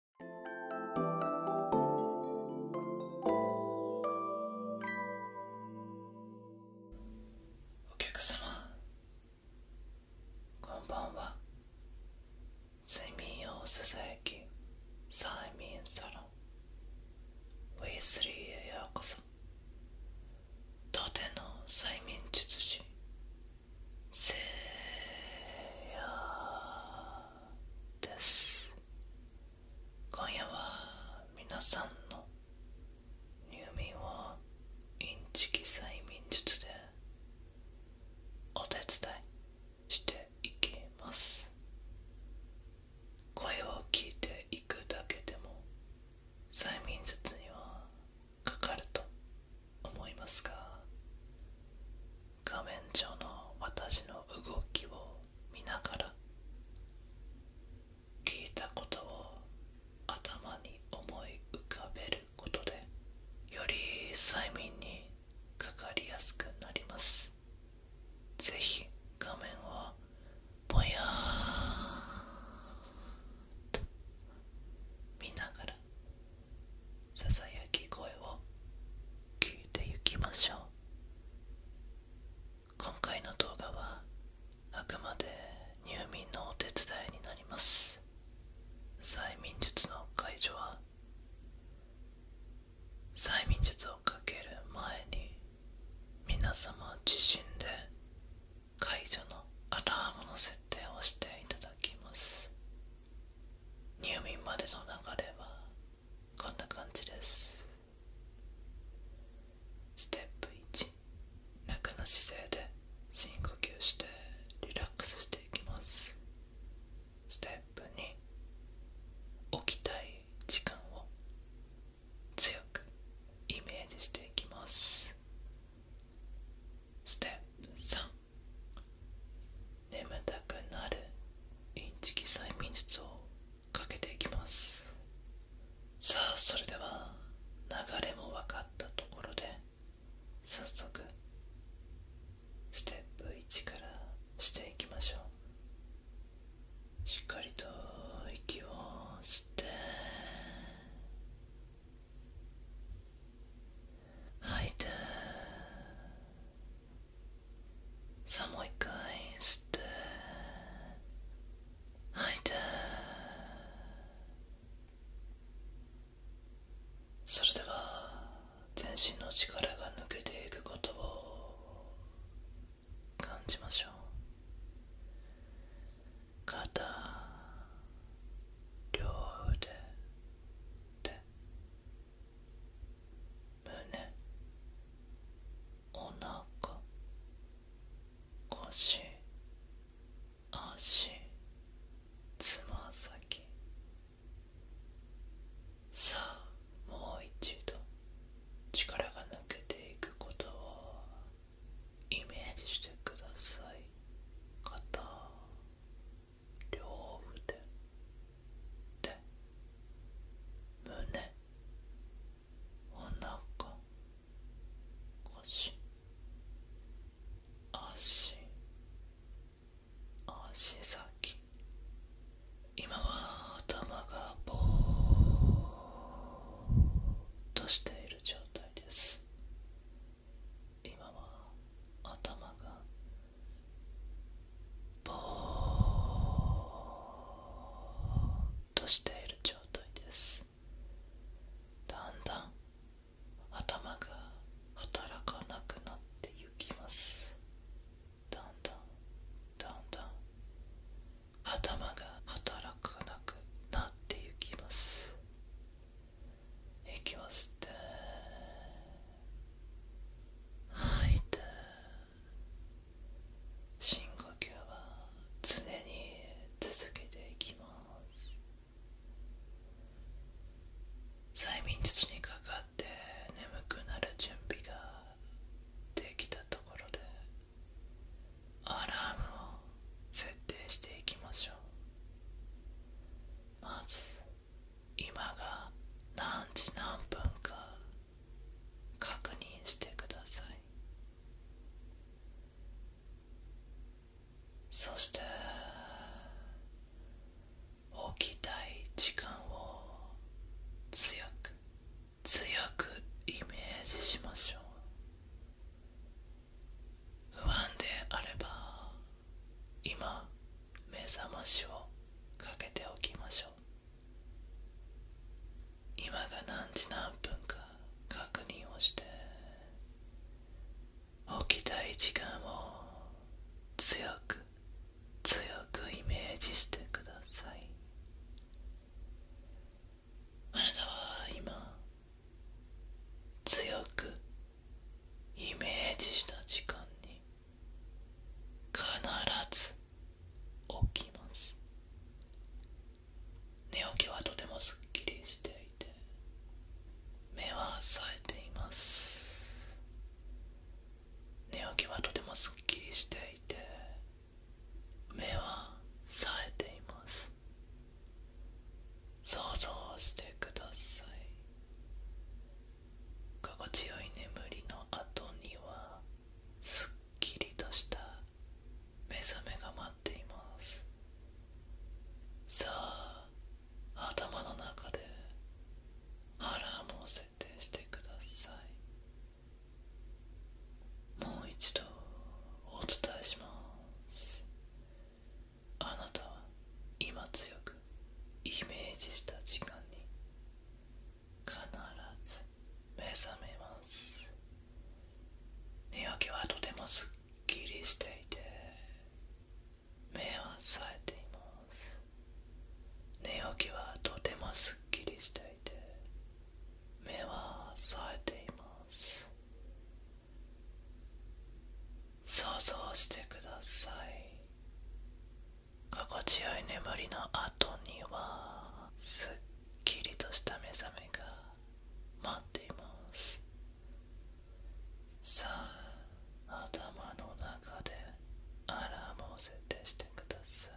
お客様こんばんは睡眠をささやき催眠サロンウィ V3 へようこそ当店の催眠術師せーやー。です今夜は皆さんの入眠をインチキ催眠術でお手伝いしていきます声を聞いていくだけでも催眠術にはかかると思いますが画面上の私の動きを見ながら聞いたことを頭に思い浮かべることでより催眠にかかりやすくなりますぜひ画面をぼやーっと見ながらさき声を聞いていきましょう今回の動画はあくまで入眠のお手伝いになります催眠術の解除は催眠術をかける前に皆様自身で解除のアラームの設定をしていただきます入眠までの流れはこんな感じですステップ1楽な姿勢で深呼吸してリラックスしていきますステップ2起きたい時間を強くイメージしていきますステップ3眠たくなるインチキ催眠術をかけていきますさあそれでは流れも分かったところで早速ステップ1からしていきましょうしっかりと息を吸って吐いてさあもう一回吸って吐いてそれでは全身の力が抜けていくことを感じましょう肩両腕手胸。おなか腰足つま先さあもう一度力が抜けていくことをイメージしてください肩両腕手胸お腹腰足足先今は頭がぼーっとしている状態です今は頭がぼっとしている状態ですだんだん頭が働かなくなってゆきますだんだんだんだん頭が働かなくなってゆきます息を吸って吐いて深呼吸は常に続けていきます催眠術にかかって眠くなる準備ができたところでアラームを設定していきましょうまず今が何時何分か確認してくださいそして起きたい時間を強く強くイメージしましょう不安であれば今目覚ましをかけておきましょう今が何時何分か確認をして起きたい時間を強く強くイメージしてくださいあなたは今強くイメージした時間に必ず起きます寝起きはとてもすっきりしていて目は冴えています寝起きはとてもすっきりしていて目は冴えています想像してください心地よい眠りの後にはすっきりとした目覚めが待っていますさあ頭の中でアラームを設定してくださいもう一度お伝えしますあなたは今強くイメージした時間に必ず目覚めます寝起きはとてもすっきりしていて目は冴えています寝起きはとてもすっきりしていて目は冴えています想像してください心地よい眠りの後にはすっきりとした目覚めが待っていますさあ頭の中でアラームを設定してくださ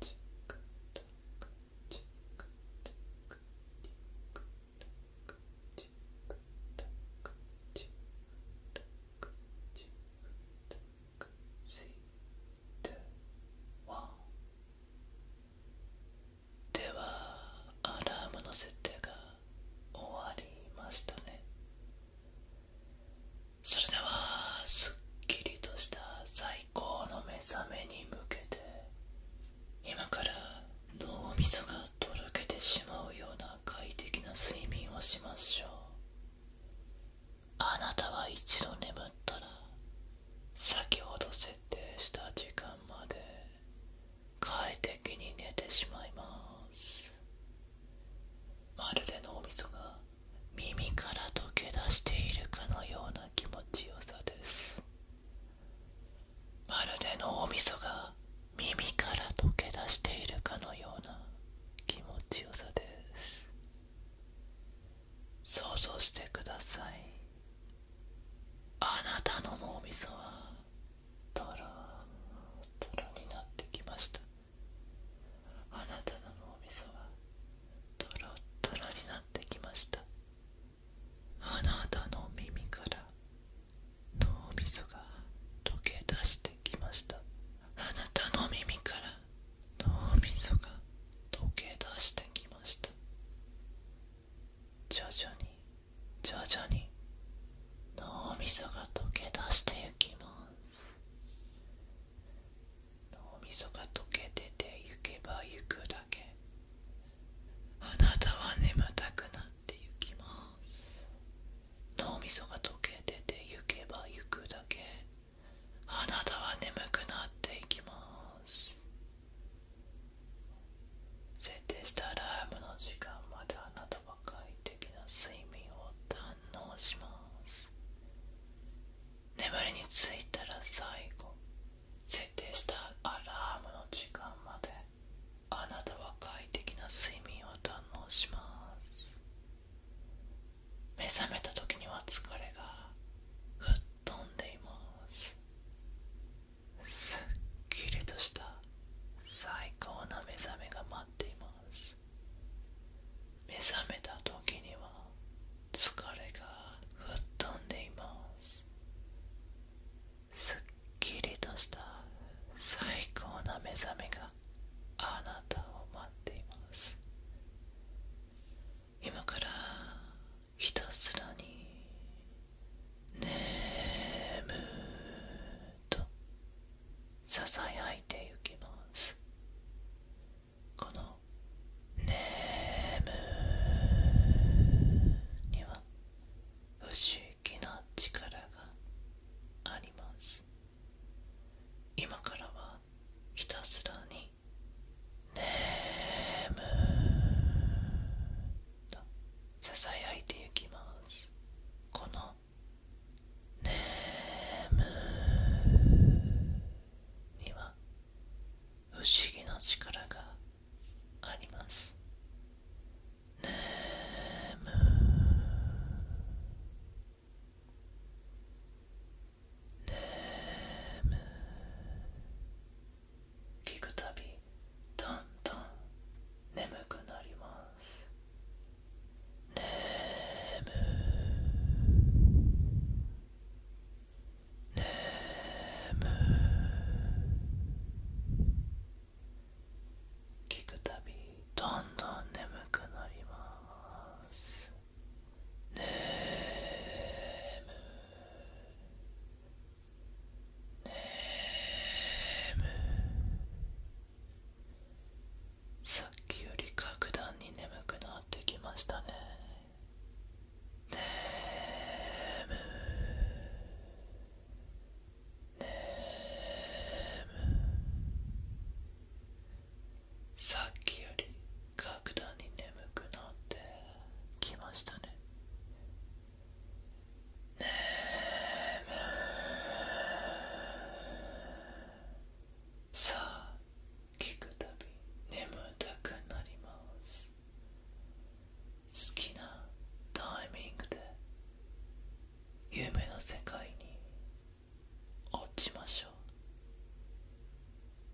いチクタクチクタクではアラームの設定が終わりましたねそれではすっきりとした最高の目覚めに向けて今から脳みそがとろけてしまうような快適な睡眠をしましょうあなたは一度眠ったら先ほど設定した時間まで快適に寝てしまいますまるで脳みそが耳から溶け出しているかのような気持ちよさですまるで脳みそが耳から溶け出しているかのような気持ちよさです想像してくださいあなたの脳みそはトロトロになってきましたあなたの脳みそはトロトロになってきましたあなたの耳から脳みそが溶け出してきましたあなたの耳から脳みそが溶け出してきました徐々に徐々に脳みそが溶け出してゆきます脳みそが溶けててゆけばゆくだけあなたは眠たくなってゆきます脳みそが溶けててゆけばゆくだけあなたは眠くなっていきます設定したアラームの時間まであなたは快適な睡眠を堪能します眠りについたら最後設定したアラームの時間まであなたは快適な睡眠を堪能します目覚めた時には疲れが吹っ飛んでいますすっきりとした最高な目覚めが待っています目覚めた時には疲れが吹っ飛んでいますすっきりとした最高な目覚めがあなたを待っています今からひたすらに眠むとささやいてゆきますこの眠には不思気な力があります今からはひたすらに眠とささやいていきますこの眠には不思議な力がありますねね聞くたびどんどん眠くなりますね眠ね眠聞くたびどんどん眠くなりますねむねむさっきより格段に眠くなってきましたねねむねさっきより格段に眠くなってきましたねね眠さあ聞くたび眠たくなります好きなタイミングで夢の世界に落ちましょう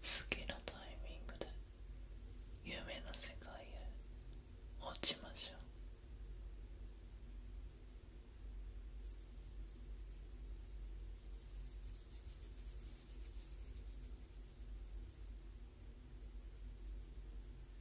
好きなタイミングで夢の世界へ落ちましょう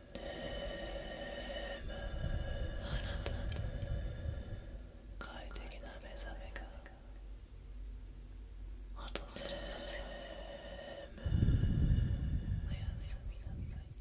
あなた。快適な目覚めから。が訪れますよおやすみなさい